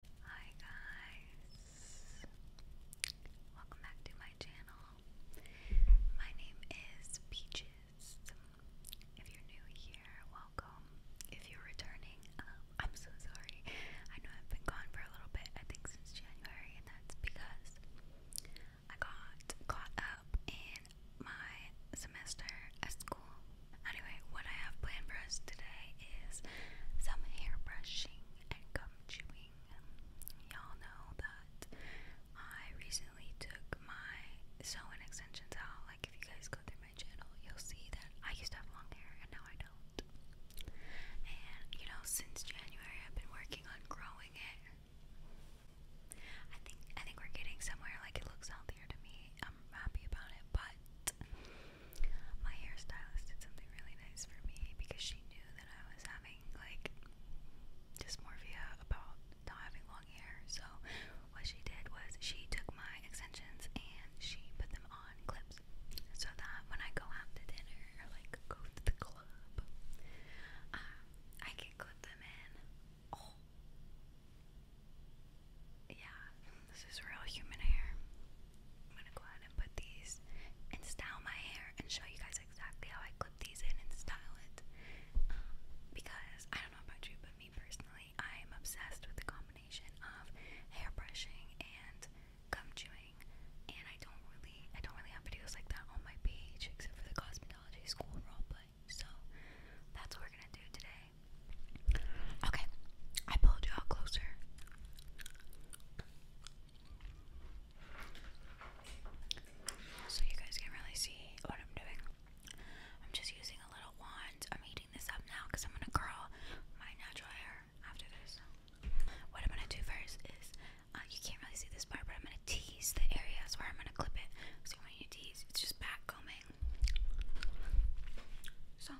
Hi guys, welcome back to my channel. My name is Peaches. If you're new here, welcome. If you're returning, um, I'm so sorry. I know I've been gone for a little bit, I think since January, and that's because I got caught up in my semester at school. Anyway, what I have planned for us today is some hair brushing and gum chewing. Y'all know that I recently took my sew extensions out. Like if you guys go through my channel, you'll see that I used to have long hair and now I don't. And you know, since January, I've been working on growing it. I think I think we're getting somewhere. Like it looks healthier to me. I'm happy about it, but my hairstylist did something really nice for me because she knew that I was having like dysmorphia about not having long hair. So what she did was she took my extensions and she put them on clips so that when I go out to dinner or like go to the club, uh, I can clip them in. Oh, yeah, this is real human hair. I'm gonna go ahead and put these and style my hair and show you guys exactly how I clip these in and style it. Um, because I don't know about you, but me personally, I'm obsessed with the combination of hair brushing and gum chewing, and I don't really, I don't really have videos like that on my page except for the cosmetology school roleplay. So that's what we're gonna do today. Okay, I pulled you out closer. So you guys can really see what I'm doing. I'm just using a little wand. I'm heating this up now because I'm gonna curl my natural hair after this. What I'm gonna do first is uh, you can't really see this part, but I'm gonna tease the areas where I'm gonna clip it. So I'm gonna tease, it's just back combing. So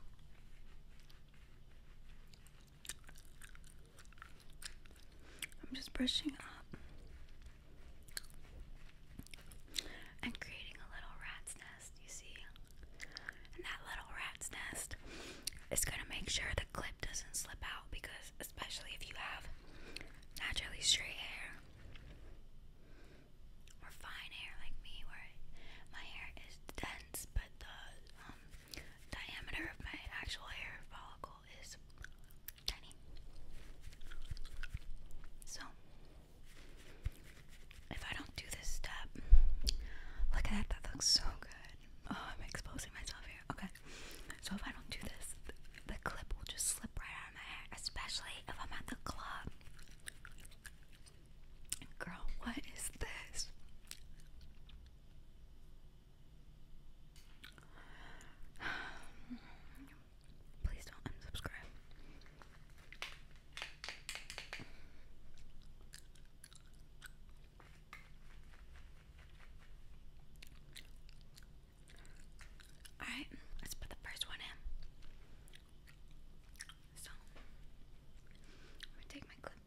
I'm just brushing up and creating a little rat's nest, you see? And that little rat's nest is going to make sure the clip doesn't slip out because, especially if you have naturally straight hair or fine hair like me, where my hair is dense but the um, diameter of my actual hair follicle is tiny. So, if I don't do this step, look at that, that looks so good. Oh, I'm exposing myself here. Okay, so if I don't do this, the clip will just slip right out of my hair, especially if I'm at the club. Girl, what is this? Please don't unsubscribe. Alright, let's put the first one in. So, let me take my clip.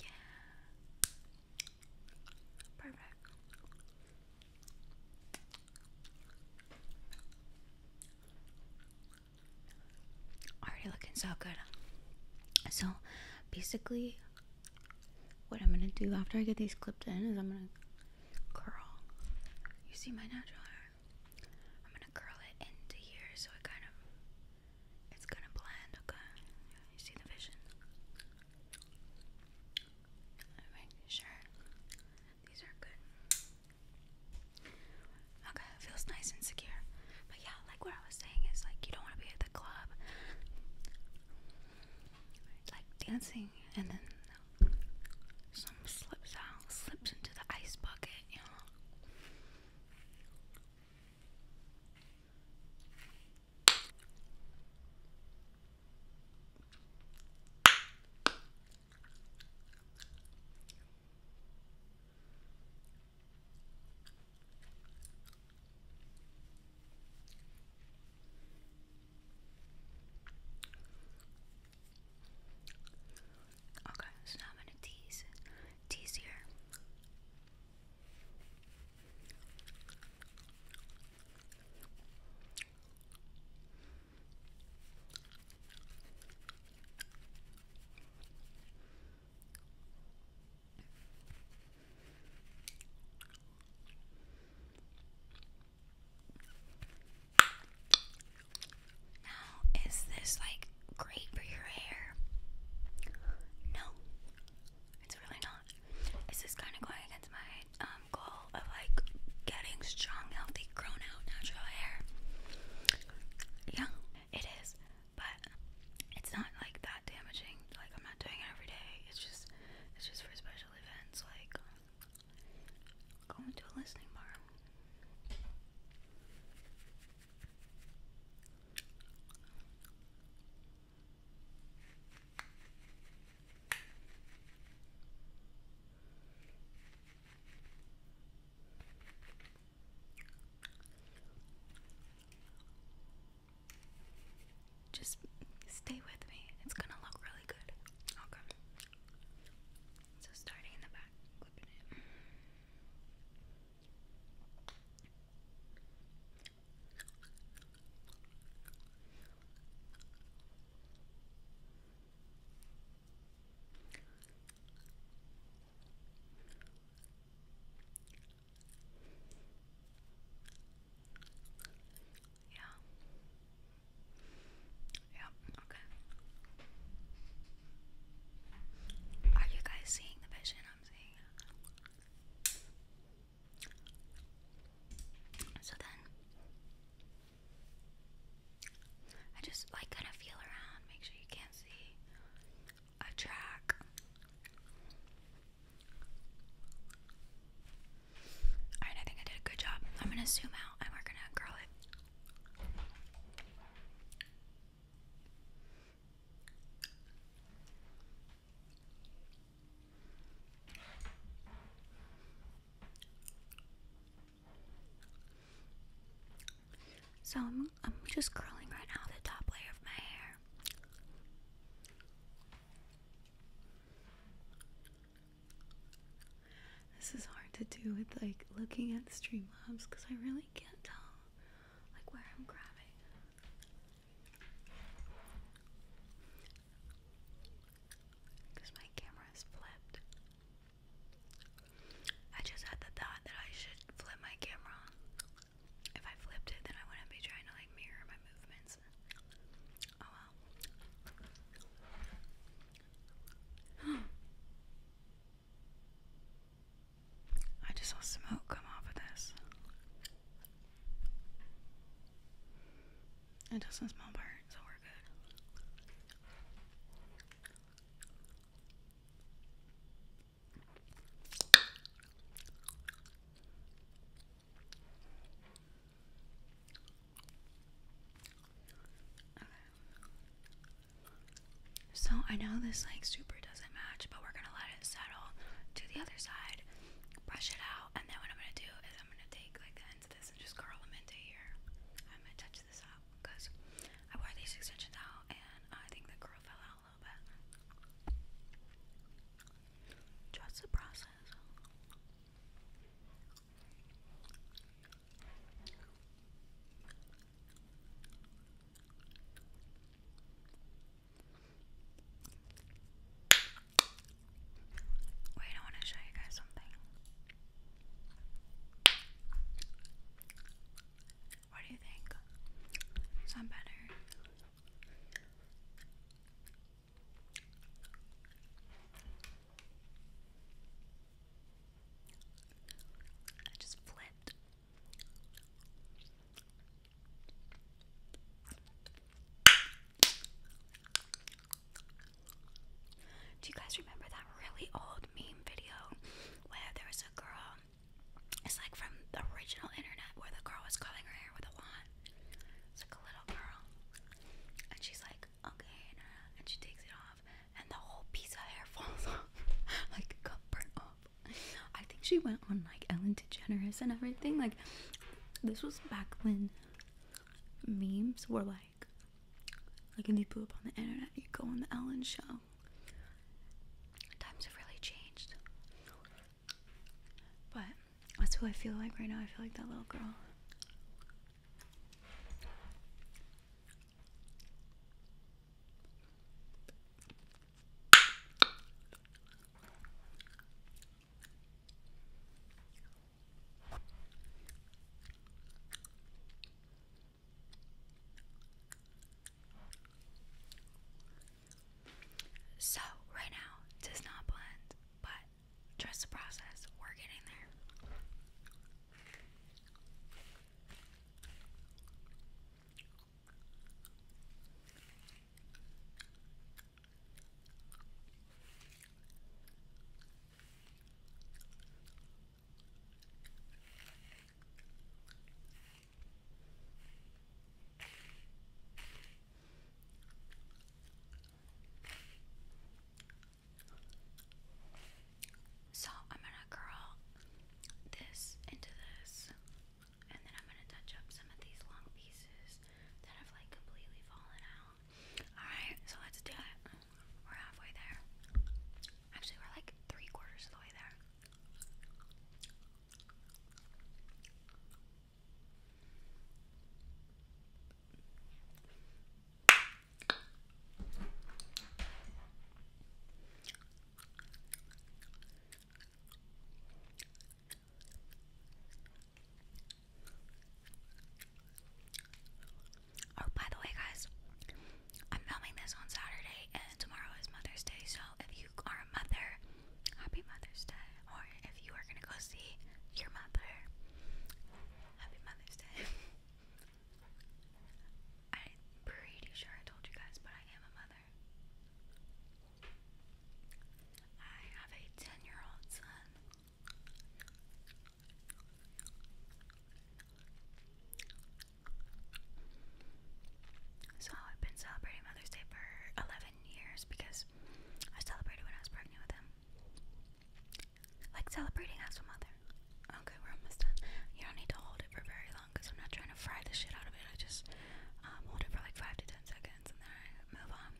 Yeah. Perfect. Already looking so good. So basically what I'm gonna do after I get these clipped in is I'm gonna curl. You see my natural hair? I'm gonna curl it into here so it kind of it's gonna blend, okay? You see the vision? sure these are good. Okay, it feels nice and secure yeah, like what I was saying is like you don't want to be at the club, like dancing, and then some slips out, slips into the ice bucket, you know. Okay, so now I'm going to tease, tease here. Now, is this like great for your hair? No, it's really not. Is kind of going against my um, goal of like getting strong, healthy, grown out, natural hair? Yeah, it is but it's not like that damaging. Like I'm not doing it every day. It's just it's just for special events like going to a listening bar. Just stay with me. It's gonna look really good. Okay. So starting in the back, yeah. Yep, okay. Are you guys seeing the vision I'm seeing? So then I just like kind of feel around, make sure you can't see a track. Alright, I think I did a good job. I'm gonna zoom out and we're gonna curl it. So I'm just curling right now the top layer of my hair. This is hard to do with like looking at the Streamlabs because I really can't tell like where I'm grabbing. Because my camera is flipped. I just had the thought that I should flip my camera. If I flipped it, then I wouldn't be trying to like mirror my movements. Oh well. I just saw smoke come off of this. It doesn't smell burnt, so we're good. So I know this like super doesn't match, but we're gonna let it settle to the other side, brush it out, and then what I'm gonna do is I'm gonna take like the ends of this and just curl them into here. I'm gonna touch this up because I wore these extensions out and I think the curl fell out little bit. Trust the process. Wait, I want to show you guys something. What do you think? Sound better? I just flipped. Do you guys remember that really old meme video where there was a girl it's like from the original internet where the girl was curling her hair with a wand. It's like a little girl. And she's like, okay, and she takes it off, and the whole piece of hair falls off. like, got burnt off. I think she went on like Ellen DeGeneres and everything. Like, this was back when memes were like, like if you blew up on the internet, you go on the Ellen show times have really changed. But that's who I feel like right now. I feel like that little girl. So, right now, it does not blend, but trust the process, we're getting there. So I'm gonna curl this into this, and then I'm gonna touch up some of these long pieces that have like completely fallen out. Alright, so let's do it. We're halfway there. Actually, we're like three quarters of the way there. Oh, by the way, guys, I'm filming this on Saturday, and tomorrow is Mother's Day. So if you are a mother, happy Mother's Day. Or if you are gonna go see your mother, happy Mother's Day. I'm pretty sure I told you guys, but I am a mother. I have a ten-year-old son. So I've been celebrating Mother's Day for 11 years because I celebrated when I was pregnant with him. Like celebrating as a mother. Okay, we're almost done. You don't need to hold it for very long because I'm not trying to fry the shit out of it. I just um, hold it for like 5 to 10 seconds and then move on.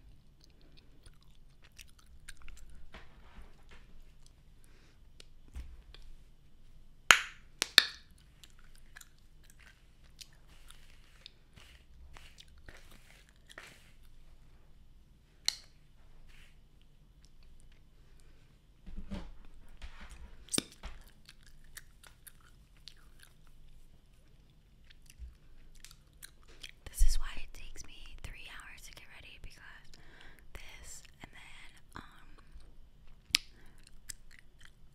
This is why it takes me three hours to get ready because this and then um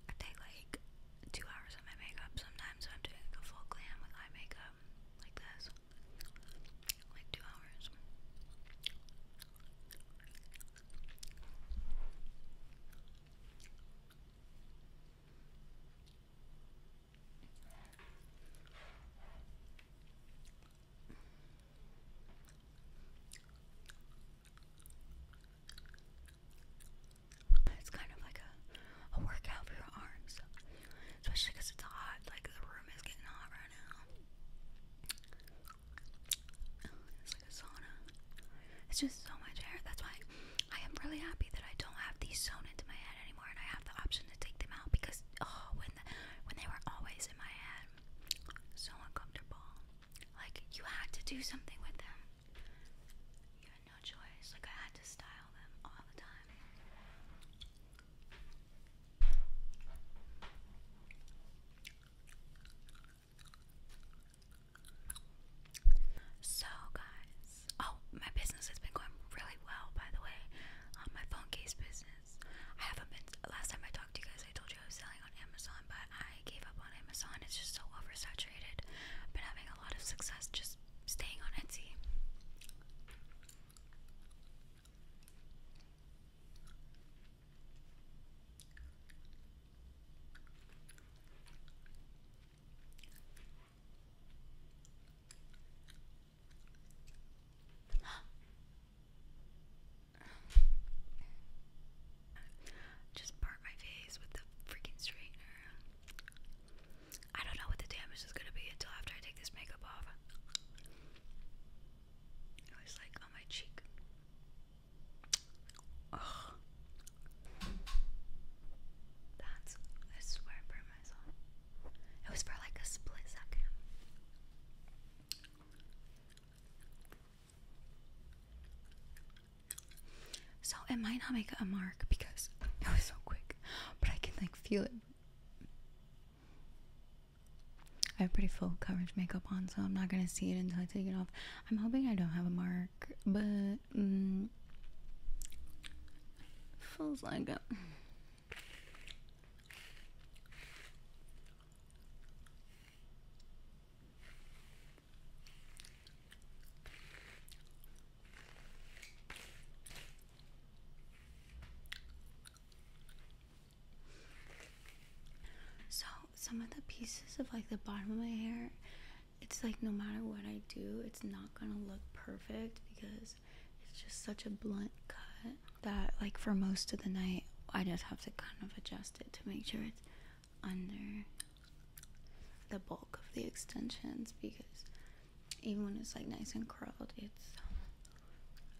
I take like two hours on my makeup sometimes when I'm doing like a full glam with eye makeup like this. Like two hours. It's kind of like a, a workout for your arms, especially it's hot. Like the room is getting hot right now. It's like a sauna. It's just so much air. That's why I am really happy that I don't have these sewn into my head anymore, and I have the option to take them out because oh, when when they were always in my head, so uncomfortable. Like, you had to do something with them. You had no choice. Like, I had to style them all the time. So, guys, oh, my business has been going really well, by the way. Um, my phone case business. I haven't been. Last time I talked to you guys, I told you I was selling Amazon, but I gave up on Amazon. It's just so oversaturated. I've been having a lot of success just staying on Etsy. Just burnt my face with the freaking straightener. I don't know what the damage is gonna be until after I take this makeup off. It was like on my cheek. That's I swear I myself. It was for like a split second. So it might not make a mark because it was so quick, but I can like feel it. I have pretty full coverage makeup on, so I'm not gonna see it until I take it off. I'm hoping I don't have a mark, but um, mm, feels like it. So some of the pieces of like the bottom of my hair, it's like no matter what I do, it's not gonna look perfect because it's just such a blunt cut that like for most of the night I just have to kind of adjust it to make sure it's under the bulk of the extensions because even when it's like nice and curled, it's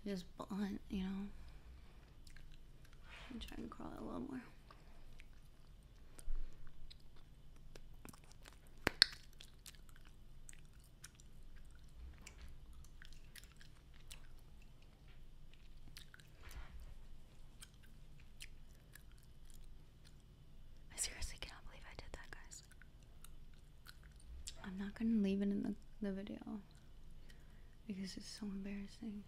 just blunt, you know. I'm trying to curl it a little more. I seriously cannot believe I did that, guys. I'm not gonna leave it in the, the video because it's so embarrassing.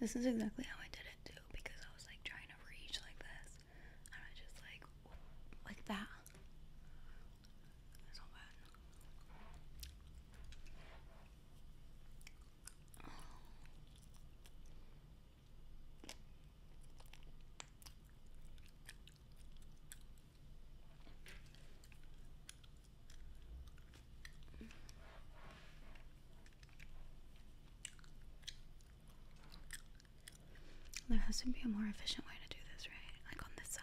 This is exactly how I did it too because I was like trying to reach like this and I just like like that. There has to be a more efficient way to do this, right? Like on this side.